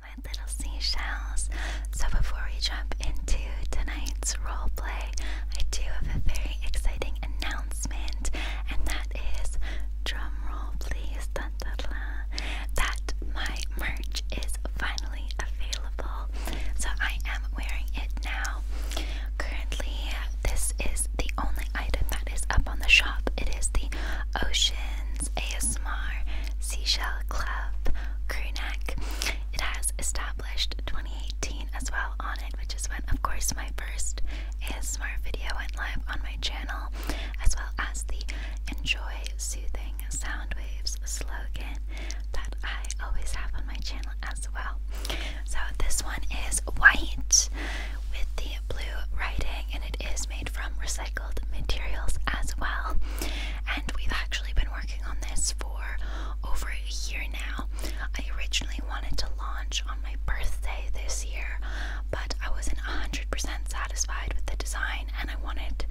my little seashells. So before we jump into tonight's role play, I do have a very exciting announcement, and that is drumroll please, that my merch is finally available. So I am wearing it now. Currently, this is the only item that is up on the shop. It is the oceans. ASMR Seashell Club Crew Neck. It has established 2018 as well on it, which is when, of course, my first ASMR video went live on my channel, as well as the Enjoy Soothing Sound Waves slogan that I always have on my channel as well. So this one is white with the blue writing, and it is made from recycled materials as well. And we've actually been working on this for over a year now. I originally wanted to launch on my birthday this year, but I wasn't 100% satisfied with the design and I wanted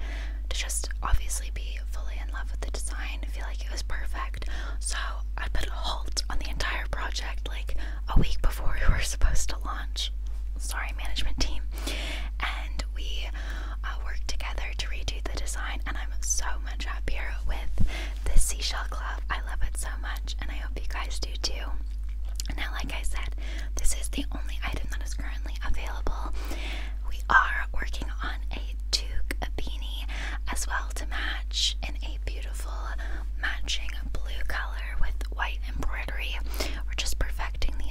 to just obviously be fully in love with the design, feel like it was perfect. So I put a halt on the entire project like a week before we were supposed to launch. Sorry, management team. And we uh, worked together to redo the design. And I'm so much happier with this seashell glove. I love it so much, and I hope you guys do too. Now, like I said, this is the only item that is currently available. We are working on a toque, a beanie, as well to match in a beautiful matching blue color with white embroidery. We're just perfecting the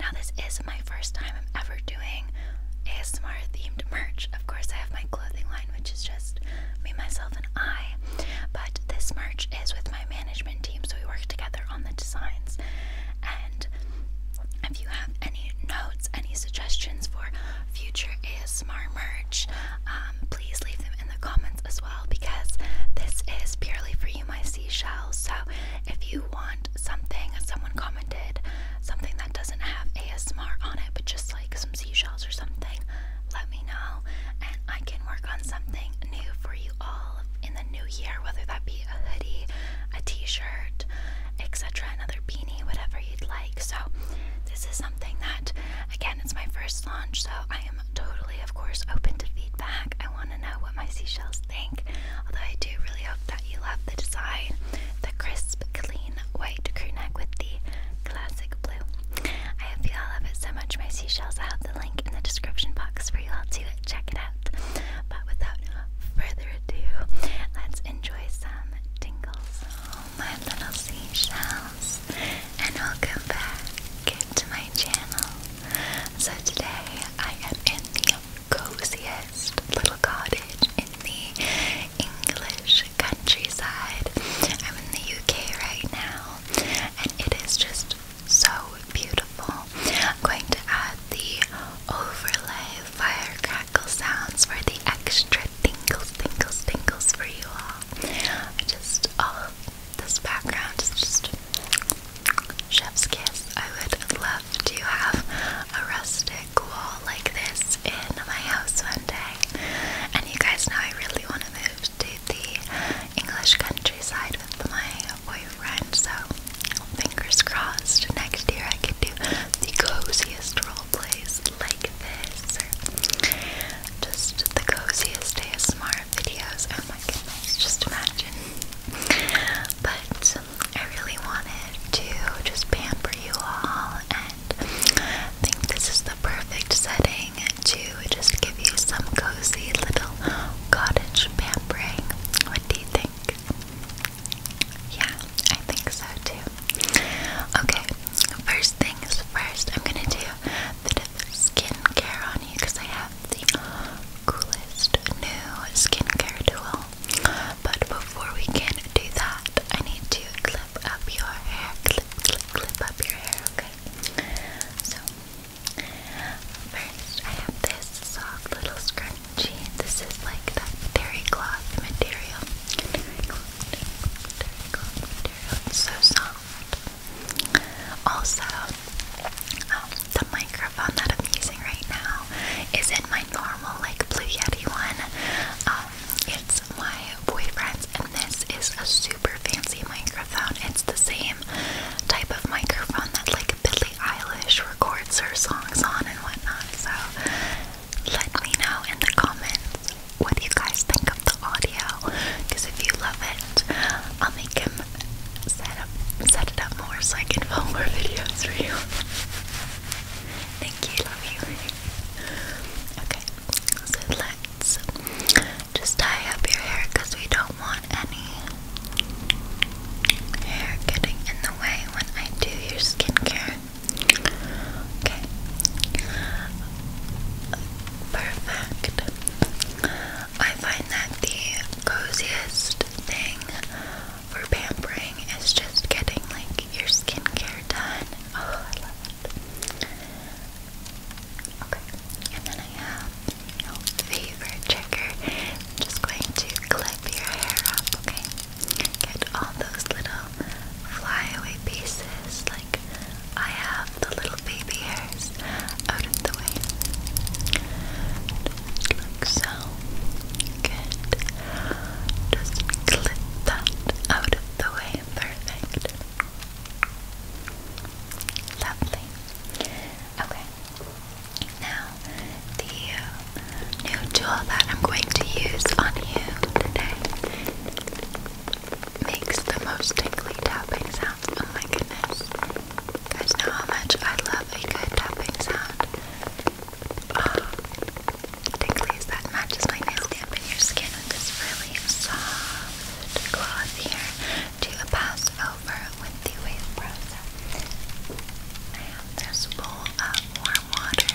Now, this is my first time ever doing ASMR themed merch. Of course, I have my clothing line, which is just me, myself, and I. But this merch is with my management team, so we work together on the designs. And if you have any notes, any suggestions for future ASMR merch, um, please leave them in the comments as well because this is purely for you, my seashells. So if you want something, someone commented something that doesn't have ASMR on it, but just like some seashells or something, let me know and I can work on something new for you all in the new year, whether that be a hoodie, a t-shirt, etc., another beanie, whatever you'd like. So this is something that again it's my first launch, so I am totally of course open to feedback. I want to know what my seashells guys Although I do really hope that you love the design, the crisp, clean white crew neck with the classic blue. I hope you all love it so much, my seashells. have the link in the description box for you all to check it out. But without further ado, let's enjoy some tingles. my little seashells, and welcome back to my channel. So today I am in the coziest little cottage in the English countryside. I'm in the UK right now, and it is just so beautiful. I'm going to add the overlay fire sounds for the extra tingles, tingles, tingles for you all. Just all this background is just Chef's kiss. I would love to have a rustic wall like this in my house one day. And you guys know I really want to move to the English countryside with my boyfriend, so fingers crossed next year I can do the coziest role plays like this. Or just the coziest day of smart videos. Oh my goodness, just imagine but I really wanted to just pamper you all and I think this is the perfect setting to just give you some cozy little cottage pampering. What do you think? Yeah, I think so too. Okay, first things first, I'm gonna do a bit of skincare on you because I have the coolest new skincare tool. But before we can do that, I need to clip up your hair. Clip, up your hair, okay? So, first I have this soft little scrunchie. This is like that terry cloth material. Terry cloth, material. so soft. Also, um, the microphone that I'm using right now is in my normal like Blue Yeti one. Um, it's my boyfriend's, and this is a super fancy microphone. It's the same type of microphone that like Billie Eilish records her songs on and whatnot. So let me know in the comments what you guys think of the audio, because if you love it, I'll make him set it up more so I can film more videos for you. Thank you, love you. okay, so let's just tie up your hair because we don't want any hair getting in the way when I do your skincare. Okay. Perfect. I find that the coziest thing for pampering is just getting like your skincare done. Oh, I love it. Okay, and then I have your favorite checker. just going to clip your hair up, okay? Get all those little flyaway pieces, like I have the little baby hairs, out of the way like so. Good. Just clip that out of the way. Perfect. Lovely. Okay. Now, the uh, new tool that I'm going to use on you today makes the most tingly tapping sounds. Oh my goodness guys know how much I love a good tapping sound. Oh, um, tinklies that matches my nail stamp in your skin with this really soft cloth here to pass over with the wave brush. I have this bowl of warm water.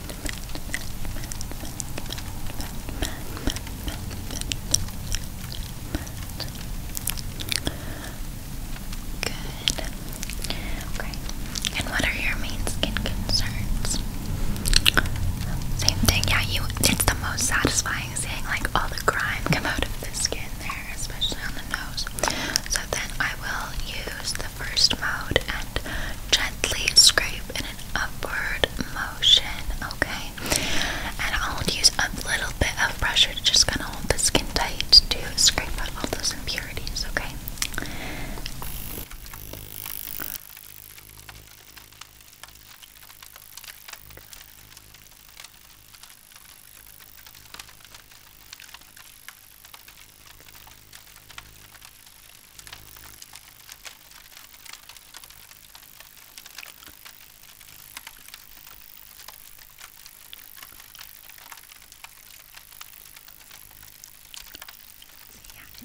Good. Okay. And what are your main skin concerns? Same yeah, you it's the most satisfying seeing like all the grime come out of the skin there, especially on the nose. So then I will use the first mode Gently scrape in an upward motion, okay? And I'll use a little bit of pressure to just kind of hold the skin tight to scrape out all those impurities, okay? Yeah, it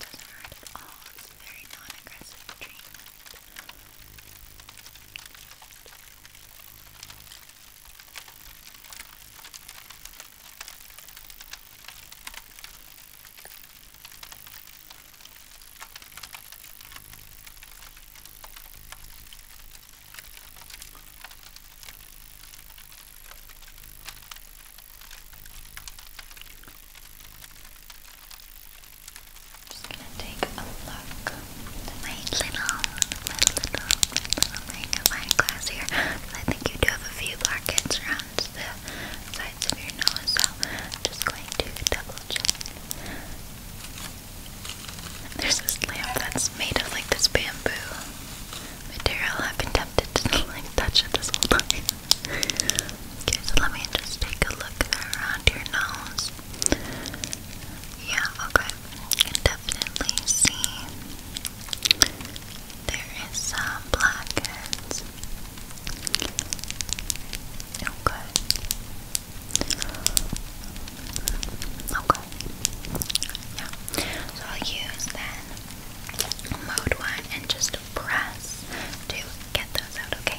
doesn't hurt at all. It's a very non-aggressive treatment. Okay. Just gonna take a look at my little, my little, my little magnifying glass here. Let you do have a few blackheads around the sides of your nose, so I'm just going to double check. There's this lamp that's made of like this bamboo material. I've been tempted to like touch it this whole time. okay, so let me just take a look around your nose. Yeah, okay. I can definitely see there is some black Okay. Okay. Yeah. So I'll use then mode one and just press to get those out, Okay.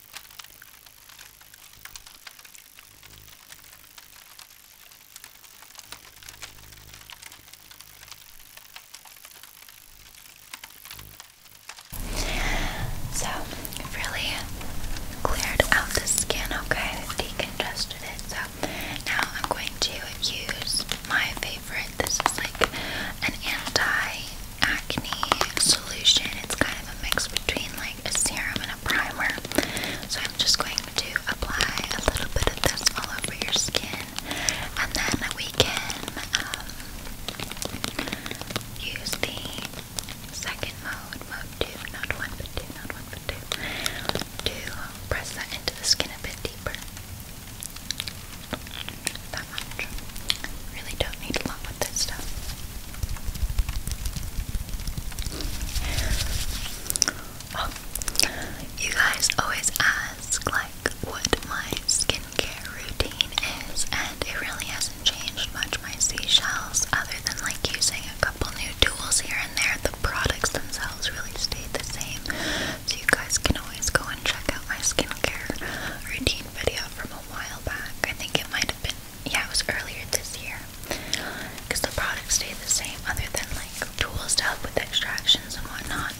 So, really cleared out the skin, okay? decongested it. So, now I'm going to use my favorite. This is like an anti acne solution. It's kind of a mix between like a serum and a primer. So I'm just going to apply a little bit of this all over your skin, and then we can um, use the second mode, mode two, not one but two, not one but two, to press that into the skin a bit deeper. That much. Really don't need a lot with this stuff. Oh, you guys always ask like what my skincare routine is, and it really hasn't changed much. My seashells, other than like using a couple new tools here and there, the products themselves really stayed the same. So you guys can always go and check out my skincare routine video from a while back. I think it might have been yeah, it was earlier this year because the products stayed the same, other than like tools to help with extractions and whatnot.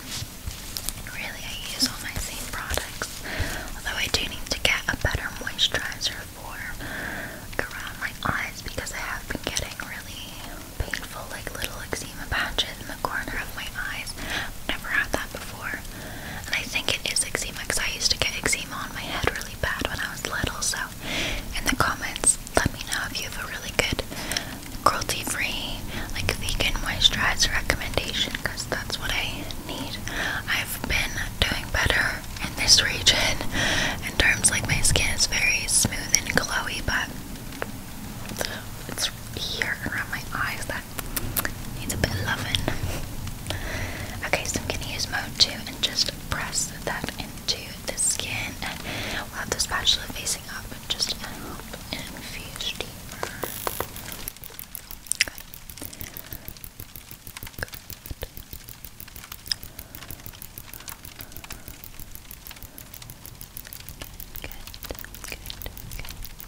Really, I use all my same products, although I do need to get a better moisturizer for around my eyes because I have been getting really painful, like little eczema patches in the corner of my eyes. I've never had that before, and I think it is eczema because I used to get eczema on my head really bad when I was little, so in the comments, let me know if you have a really good cruelty-free, like vegan moisturizer recommendation, because that's what I need. I've been doing better in this region in terms like my skin is very smooth and glowy, but it's here around my eyes that needs a bit of loving. Okay, so I'm gonna use mode two and just press that in to the skin and we'll have the spatula facing up and just help infuse deeper. Okay. Good. Good, good,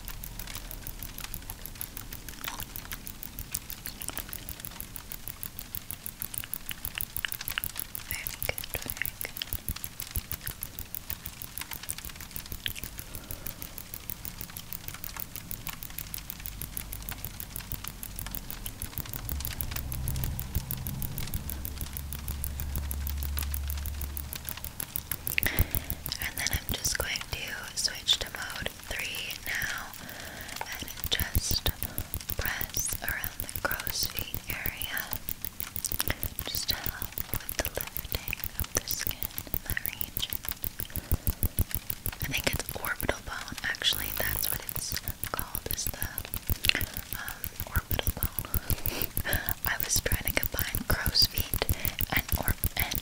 very good, very good. And then I'm just going to switch to mode three now and just press around the crow's feet area. Just with the lifting of the skin I think it's orbital bone, actually, that's what it's called, is the um, orbital bone. I was trying to combine crow's feet and, or and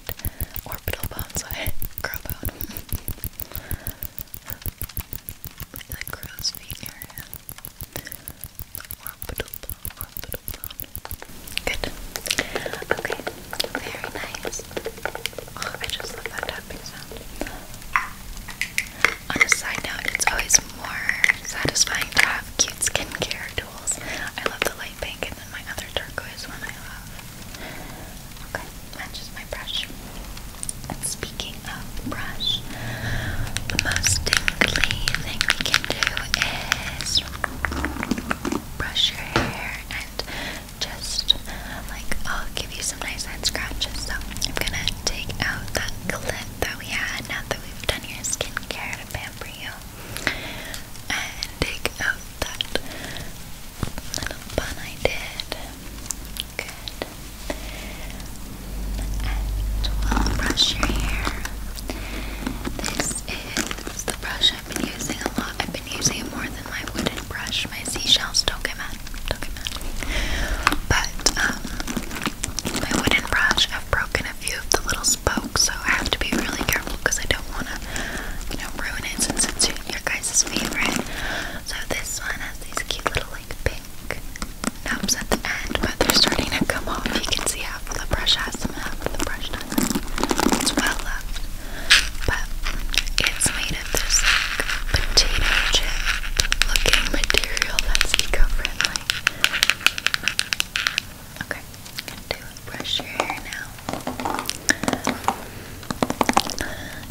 orbital bone, so I crow bone. the Crosby area. Orbital bone, orbital bone. Good. Okay, very nice. Oh, I just love that tapping sound. On a side note, it's always more satisfying to have cute skincare tools. I love the light pink and then my other turquoise one I love. Okay, matches my brush. And speaking of brush, the most tingly thing we can do is brush your hair and just like I'll give you some nice head scratches. So I'm gonna take out that clip that we had now that we've done your skincare to pamper you. And take out that little bun I did. Good. And we brush your hair. This is the brush I've been using a lot. I've been using it more than my wooden brush, my seashells. Don't get mad. Don't get mad. But um, my wooden brush, I've broken a few of the little spokes, so I have to be really careful because I don't want to, you know, ruin it since it's your guys' favorite. So this one has these cute little like pink knobs at the end, but they're starting to come off. You can see half of the brush has them, half of the brush doesn't. It's well left, but it's made of this like potato chip looking material that's eco-friendly. Okay, gonna do a brush your hair now.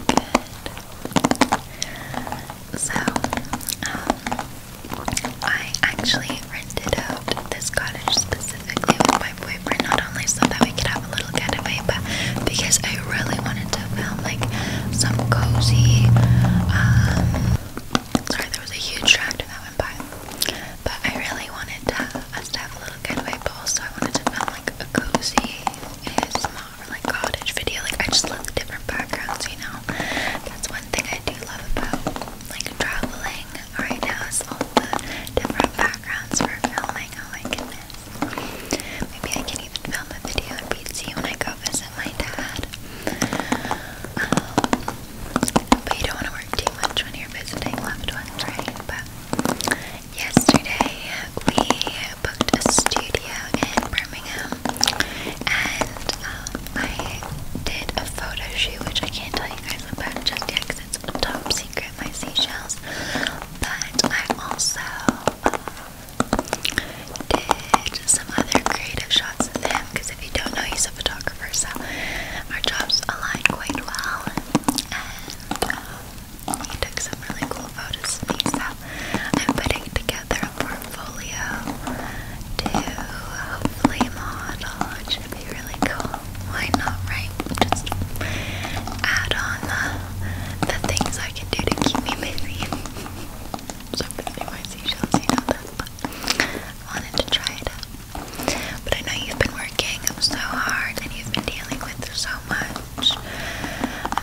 Good. So, um, I actually rented out this cottage specifically with my boyfriend, not only so that we could have a little getaway, but because I really wanted to film like some cozy. Um, sorry, there was a huge tractor that went by, but I really wanted to, us to have a little getaway, but also I wanted to film like a cozy, small or like cottage video. Like I just love different backgrounds, you know. That's one thing I do love about like traveling right now it's all the different backgrounds for filming. Oh my goodness. Maybe I can even film a video in BC when I go visit my dad. Um, but you don't want to work too much when you're visiting loved ones, right? But yesterday we booked a studio in Birmingham and um, I did a photo shoot, which I can't tell you guys about just yet because it's top secret, my seashells. But I also um, did some other creative shots of him because if you don't know, he's a photographer, so our jobs align quite well. And um, he took some really cool I'm putting together a portfolio to hopefully model. It should be really cool. Why not, right? Just add on the, the things I can do to keep me busy. so busy my seashells, you know that, wanted to try it But I know you've been working so hard and you've been dealing with so much I'm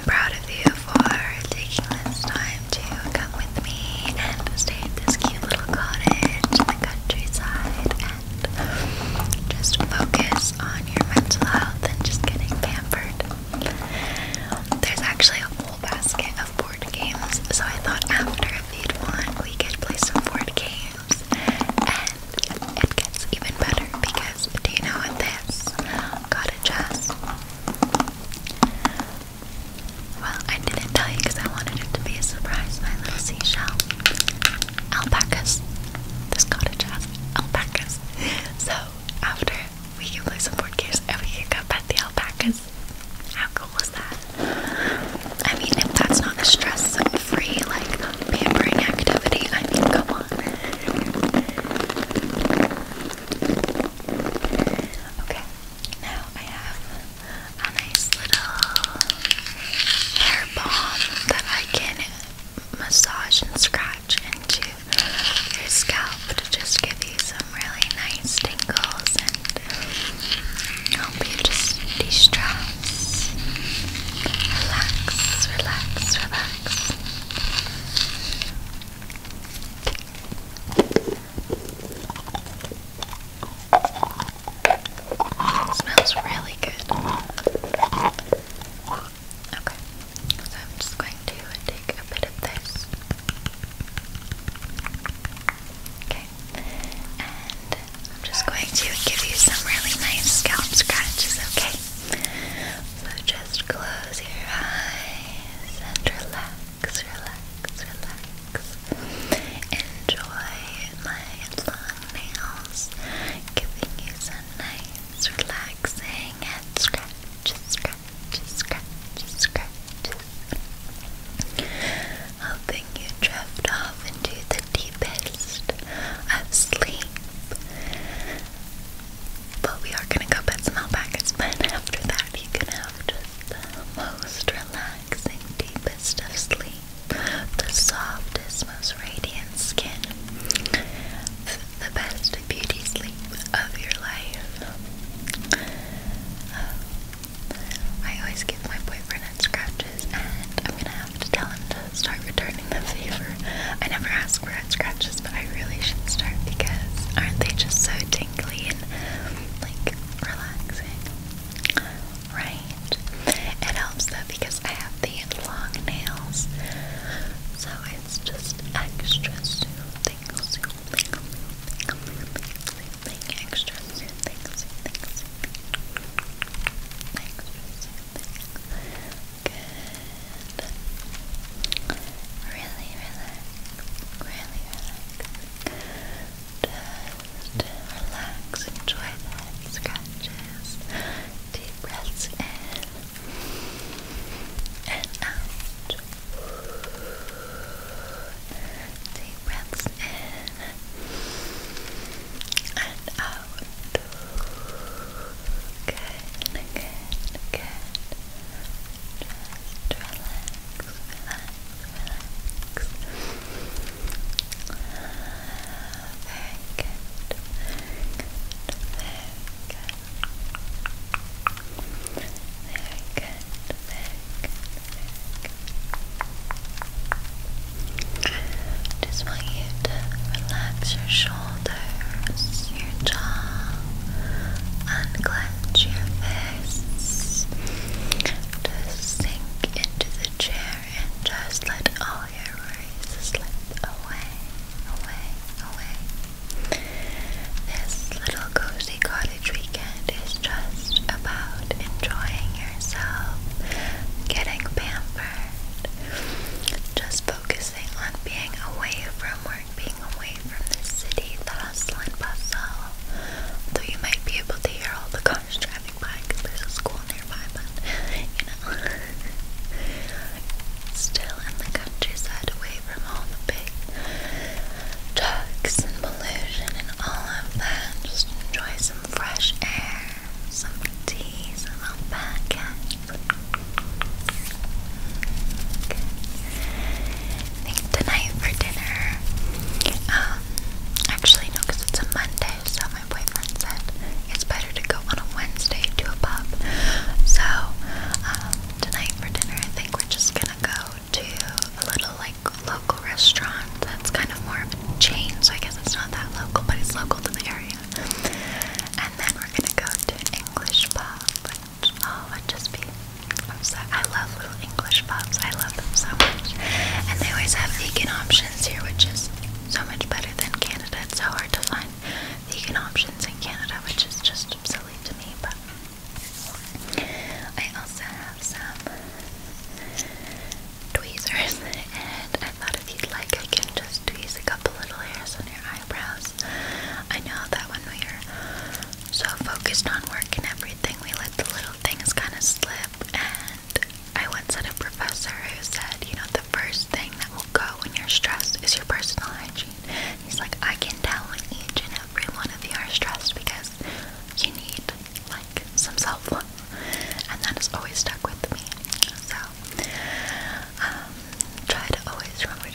proud of you for taking this time to come with me and stay at this cute little cottage in the countryside and just focus on your mental health and just getting pampered. There's actually a whole basket of board games, so I thought after feed one we could play some board games and it gets even better because do you know what this got a dress. Well, I didn't tell you because I wanted it to be a surprise, my little seashell. Alpacas. This cottage has alpacas. So, after we can play some board games and we can go pet the alpacas. How cool was that? I mean, if that's not a stress free, like, pampering activity, I mean, come on. Okay, now I have a nice little hair balm that I can massage and scratch into your scalp to just give you some really nice tingles and help you just de stress. Relax, relax, relax smells really good. Okay, so I'm just going to take a bit of this. Okay, and I'm just going to give you some really nice scalp scratches, okay? So just close your eyes and relax, relax, relax. Enjoy my long nails giving you some nice, relaxing and scratch, scratch, scratch, scratches. Hoping you drift off into the deepest of sleep but we are gonna go pet some alpacas, but after that, you can have just the most relaxing, deepest sleep, the softest, most radiant skin, the best beauty sleep of your life. I always give my boyfriend head scratches, and I'm gonna have to tell him to start returning the favor. I never ask for head scratches lashes, but I really should start because aren't they just so tingly and like relaxing? Right? It helps though because I have the long nails, so it's just extra soothing, soothing, soothing, soothing, extra soothing, soothing, soothing, extra soothing. Good. Really relax. Really relax. Just relax. Enjoy the scratches. Deep breaths in and out. Deep breaths in and out. Good, good, good. Just relax, relax, relax. Very good, very good, very good. Very good, Just want you to relax your shoulders, your jaw, and close want your to sink into the chair and just let all your worries slip away, away, away. This little cozy cottage weekend is just about enjoying yourself, getting pampered, just focusing on being away from work being away from this city, the hustle and bustle. Though you might be able to hear all the cars driving by because there's a school nearby, but you know. Still in the countryside, away from all the big trucks and pollution and all of that. Just enjoy some fresh air, some tea, some alpaca. I think tonight for dinner, um, actually no, it's a Monday, so my boyfriend said it's better to go on a Wednesday to a pub. So, um, tonight for dinner, I think we're just gonna go to a little like local restaurant that's kind of more of a chain, so I guess it's not that local, but it's local to the area. And then we're gonna go to an English pub Oh, I'd just be. i I love little English pubs. I love them so much. And they always have vegan options here, which is so much better than Canada. It's so hard to find vegan options in Canada, which is just silly to me. But I also have some tweezers, and I thought if you'd like, I can just tweeze a couple little hairs on your eyebrows. I know that when we are so focused on work and everything, we let the little things kind of slip. And I once had a professor who said, you know, the first thing that will go when you're stressed is your personal hygiene. He's like, I can tell when each and every one of you are stressed because you need like some self love. And that has always stuck with me. So, um, try to always remember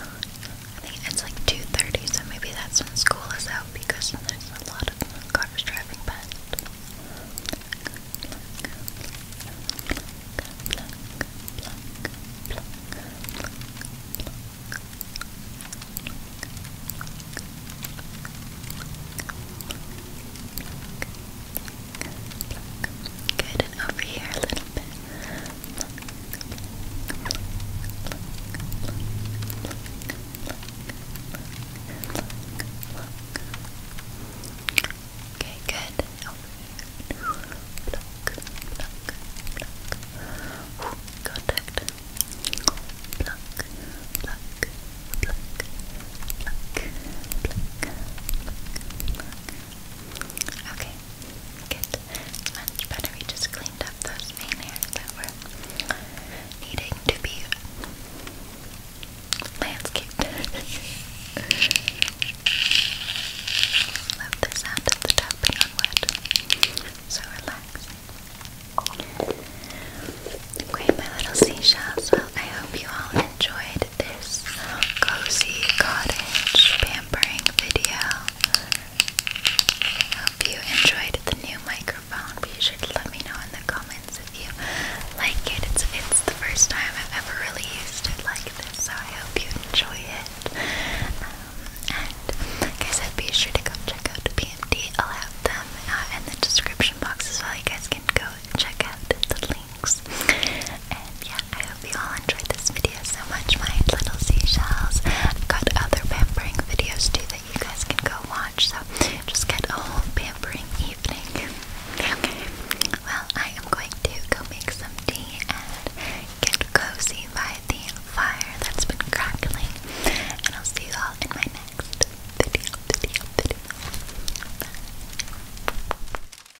I think it's like 2.30, so maybe that's when school is out because there's a lot of cars driving past. Good, over here a little bit. Okay, good. contact. Okay, good. Much better. We just cleaned up those main hairs that were needing to be landscaped. Love the sound of the tapping on wood. So relaxed. Great, my little seashells. I hope you all enjoyed this cozy cottage pampering video. Hope you enjoyed the new microphone. Be sure to let me know in the comments if you like it. It's, it's the first time I've ever really used it like this, so I hope you enjoy it. Um, and like be sure to come check out the I'll have them uh, in the description box as well. You guys can go check out the link things. And yeah, I hope you all enjoyed this video so much, my little seashells. I've got other pampering videos too that you guys can go watch, so just get a whole pampering evening. well, I am going to go make some tea and get cozy by the fire that's been crackling. And I'll see you all in my next video, video, video.